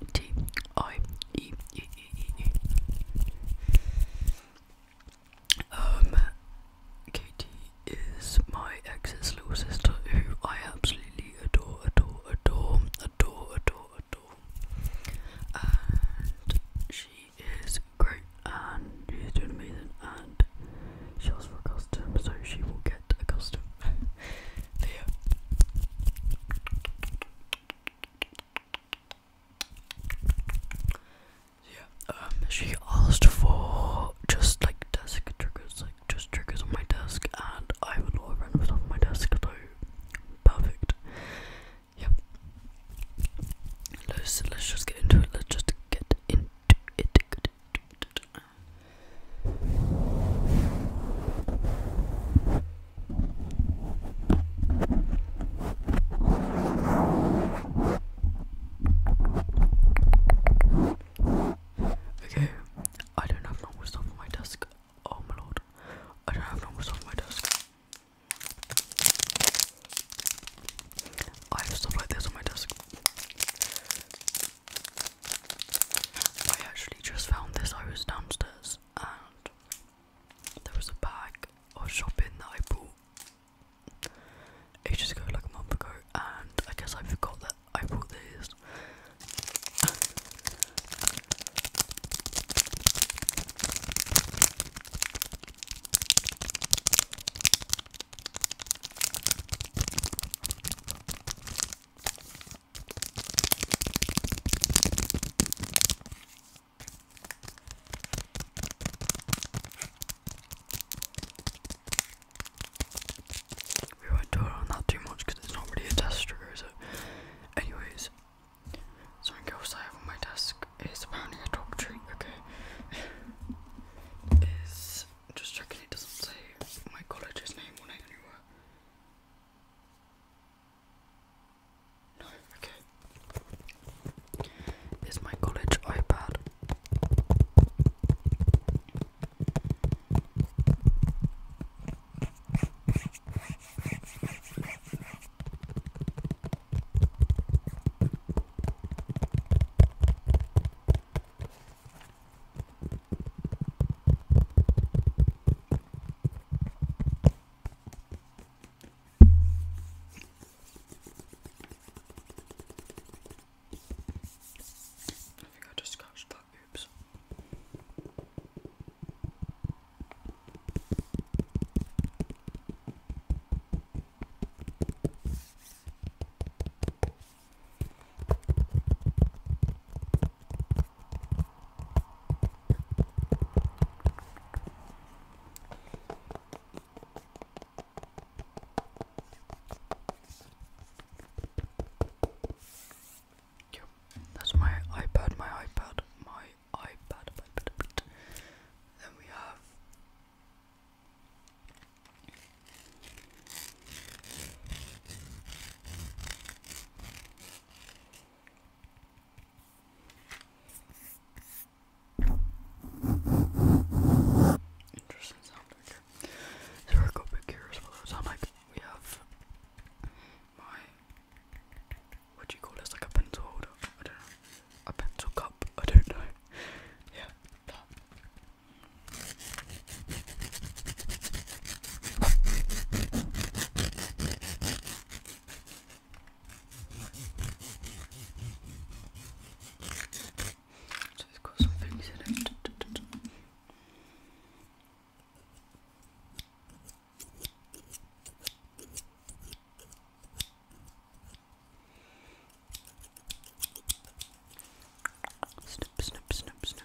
O T I E E E E. Um, Katie is my ex's little sister who I absolutely adore, adore, adore, adore, adore, adore. And she is great and she's doing amazing and she asked for a custom so she will get a costume. there. Yeah, um, she asked for just like desk triggers, like just triggers on my desk, and I have a lot of random on my desk, so perfect. Yep. Let's let's just get into it. Let's just Get into it. Okay, I don't have normal stuff on my desk. Oh my lord, I don't have normal stuff on my desk. I have stuff like this on my desk. I actually just found this. I was downstairs and there was a bag of shopping that I bought ages ago, like a month ago, and I guess I forgot that I bought these. We won't it on that too much because it's not really a test trigger, is it? Anyways, something else I have on my desk is apparently a dog treat, okay? just checking it doesn't say my college's name on it anywhere. No, okay. Is my college iPad? think I just scratched that. Oops that's my iPad, my iPad, my iPad, iPad. Then we have Interesting sound right There are go big here as well. So i like, we have my what do you call this? Like a pencil holder? I don't know. A pencil cup? I don't know. yeah. So it's got some things in it. Snip, snip, snip, snip.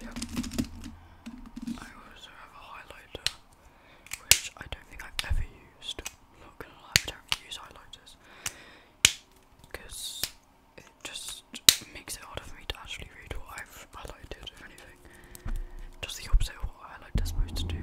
Yeah. I also have a highlighter, which I don't think I've ever used. not gonna lie, I don't use highlighters. it just makes it harder for me to actually read what I've highlighted, if anything. Just the opposite of what highlighter's supposed to do.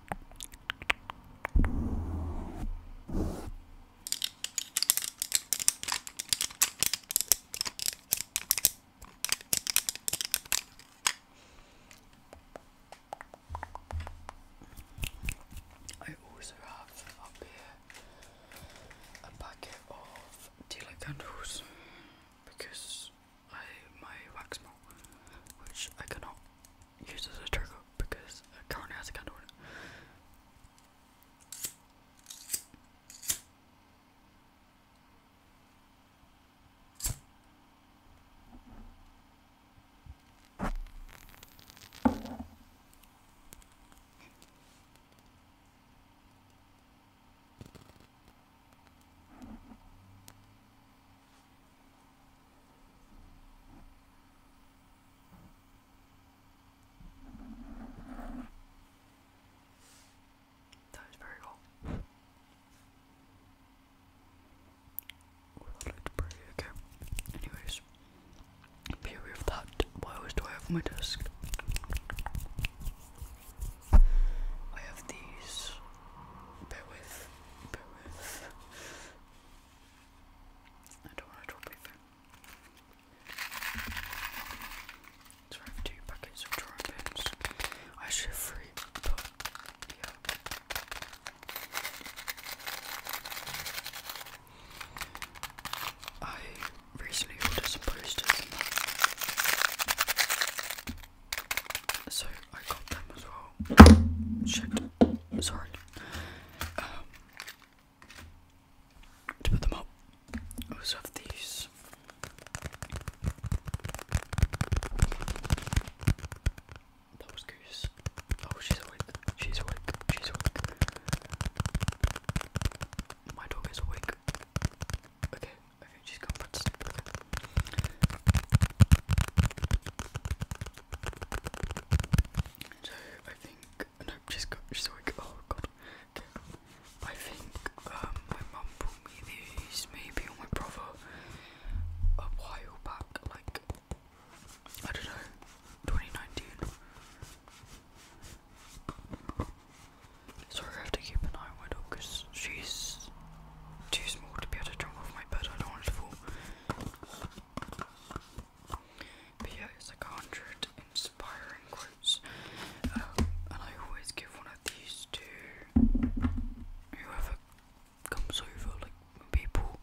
I also have up here a packet of tea light candles because I my wax melt, which I cannot use as a trigger because it currently has a candle in it. That is very cool. Well, I like to pray, okay. Anyways, be aware of that. What else do I have my desk? I have these. Bear with. I don't want to draw boof. So two packets of drawing I should free. I recently ordered some posters so I got them as well. Shit. Sorry. Um, to put them up, I also have these. That Goose. Oh, she's awake. She's awake. She's awake. My dog is awake. Okay, okay, she's gone so I think no, she's got she's already oh god. I think um my mum bought me these maybe or my brother a while back, like I don't know, twenty nineteen. Sorry, I have to keep an eye on my dog because she's too small to be able to jump off my bed. I don't want her to fall but yeah, it's like a hundred inspiring quotes. Um, and I always give one of these to whoever comes over. Like people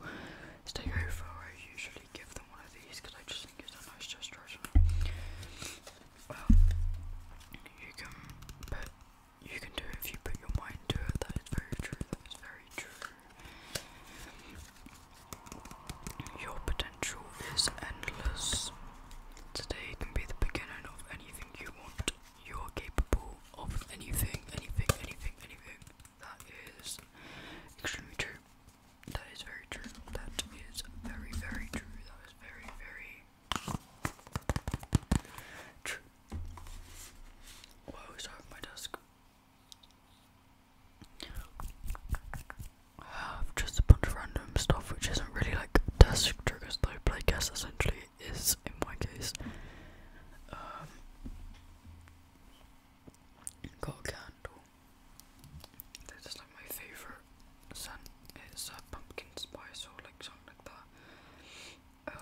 stay over, I usually give them one of these because I just think it's a nice gesture. Well, um, you can you can do if you put your mind to it. That is very true. That is very true. Your potential is endless. Today can be the beginning of anything you want. You are capable of anything, anything, anything, anything. That is extremely true. That is very true. That is very, very true. That is very, very true. Well, sorry, my desk. Just a bunch of random stuff which isn't really like desk triggers though, but I guess essentially is in my case. Um, got a candle. This like my favourite scent. It's a pumpkin spice or like something like that. Um,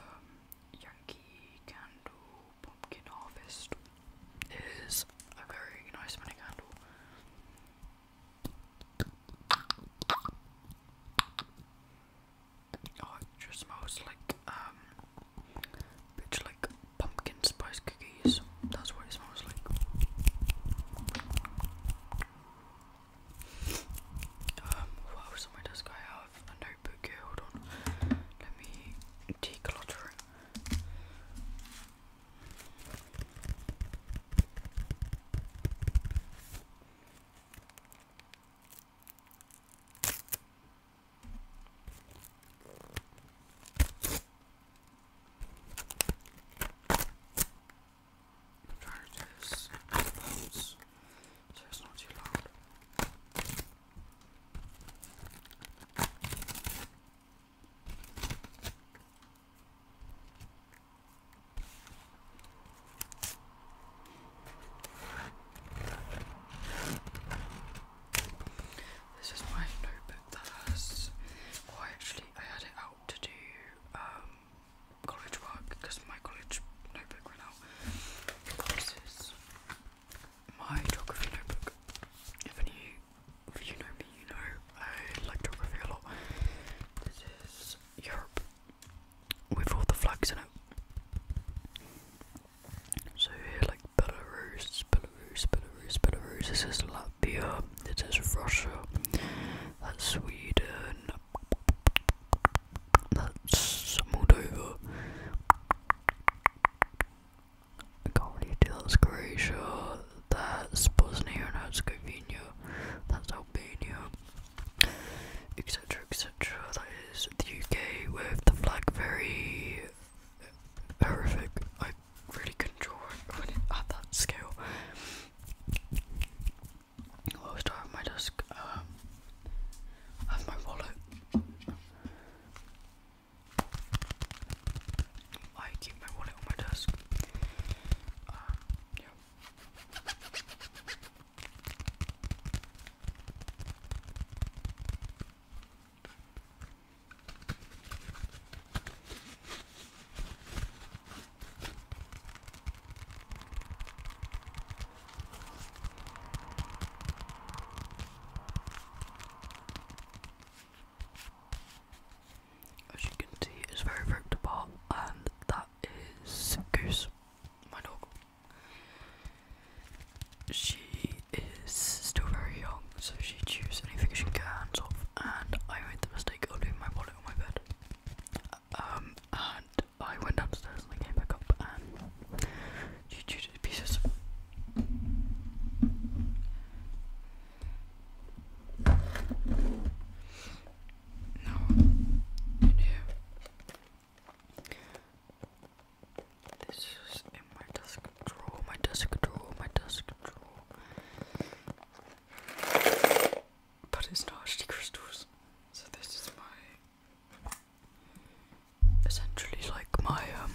Yankee Candle Pumpkin Harvest is a very nice money candle. Oh, it just smells like um, bitch like pumpkin spice cookies. That's what it smells like. Um, what else on my desk have? have a notebook hold on. Let me declutter it. I'm trying not too loud. This is my notebook that has. Well, actually, I had it out to do um, college work because my college notebook ran out. This is my geography notebook. If any if you know me, you know I like geography a lot. This is Europe with all the flags in it. So here, like Belarus, Belarus, Belarus, Belarus. This is Latvia. This is Russia. That's Sweden. That's Moldova. Comedy tells Croatia that's Bosnia and Herzegovina, that's Albania, etc. etc. That is the UK with the flag very horrific. I really couldn't draw it at that scale. I'll start my desk. Um, I my wallet. I keep my wallet on my desk. Uh, yeah. As you can see, it's very ripped and that is Goose, my dog. She is still very young, so she chews anything she can, hands off, and I made the mistake of leaving my wallet on my bed. Um, and I went downstairs and came back up, and no, This is in my desk drawer, my desk drawer, my desk drawer. But it's not actually crystals. So this is my essentially like my um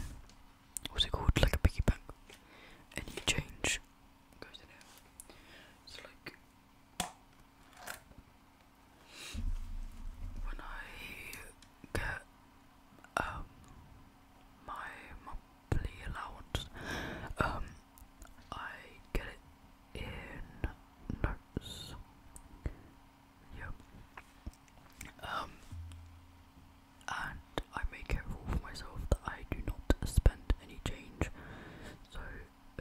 what's it called like a piggy bank and you change goes in here so like when I get um my monthly allowance um I get it in notes Yep. Um, and I make it for myself that I do not spend any change. So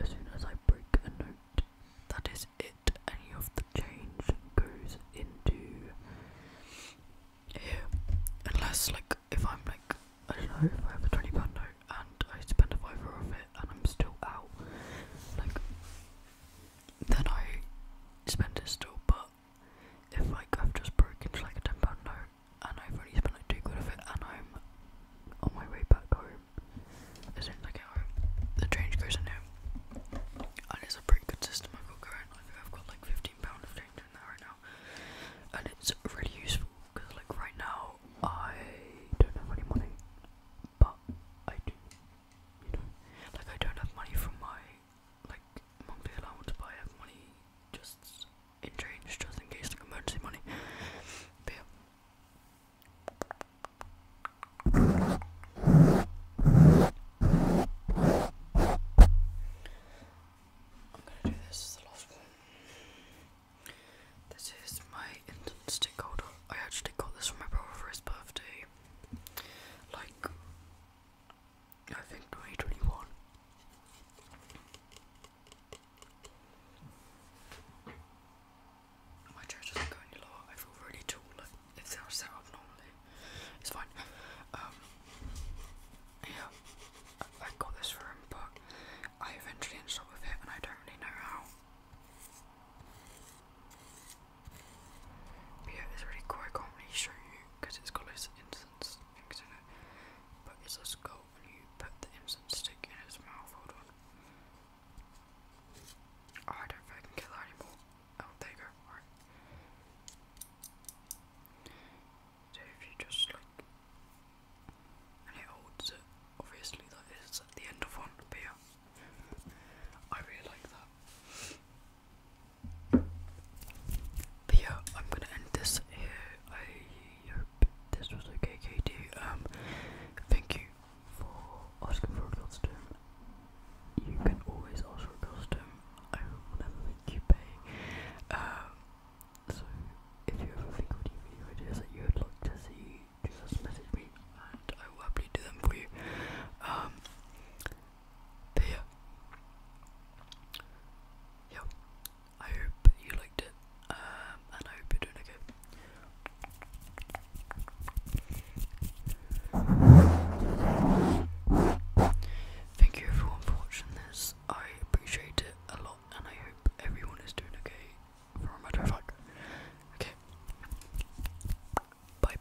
as soon as I break a note, that is it. Any of the change goes into here, unless like if I'm like I don't know if I have a twenty pound note and I spend a fiver of it and I'm still out, like then I spend it still. But if like I've just broken like a ten pound note and I've already spent like two quid of it and I'm on my way back home, as soon as the change goes in here. And it's a pretty good system I've got going. I've got like fifteen pound of change in there right now, and it's really useful because like right now I don't have any money, but I do. You know, like I don't have money from my like monthly allowance, but I money just in change, just in case, like emergency money. I'm gonna do this This is my instant holder. I actually got this from my brother for his birthday. Like I think grade My chair doesn't go any lower. I feel really tall. Like, it's how set up normally. It's fine. Um, yeah, I, got this for but I eventually ended up with it, and I don't really know how. But yeah, it's really cool. I can because it's got loads incense things in it. But it's a skull, and you put the incense stick in its mouth. Oh, I don't think I can get anymore. Oh, there go. So if you just like. And it holds it. Obviously, that is at the end of one, but yeah. I really like that. But yeah, I'm gonna end this here. this was okay, Katie. Um, thank you for asking for a costume. You can always ask for a I will never make you pay. Um, so if you ever think video ideas that you would like to see, just message me and I will happily do them for you. Um, but yeah. Yo, I hope you liked it. Um, and I hope you're doing okay. Thank you everyone for watching this. I appreciate it a lot and I hope everyone is doing okay for a matter of fact. Okay. Bye.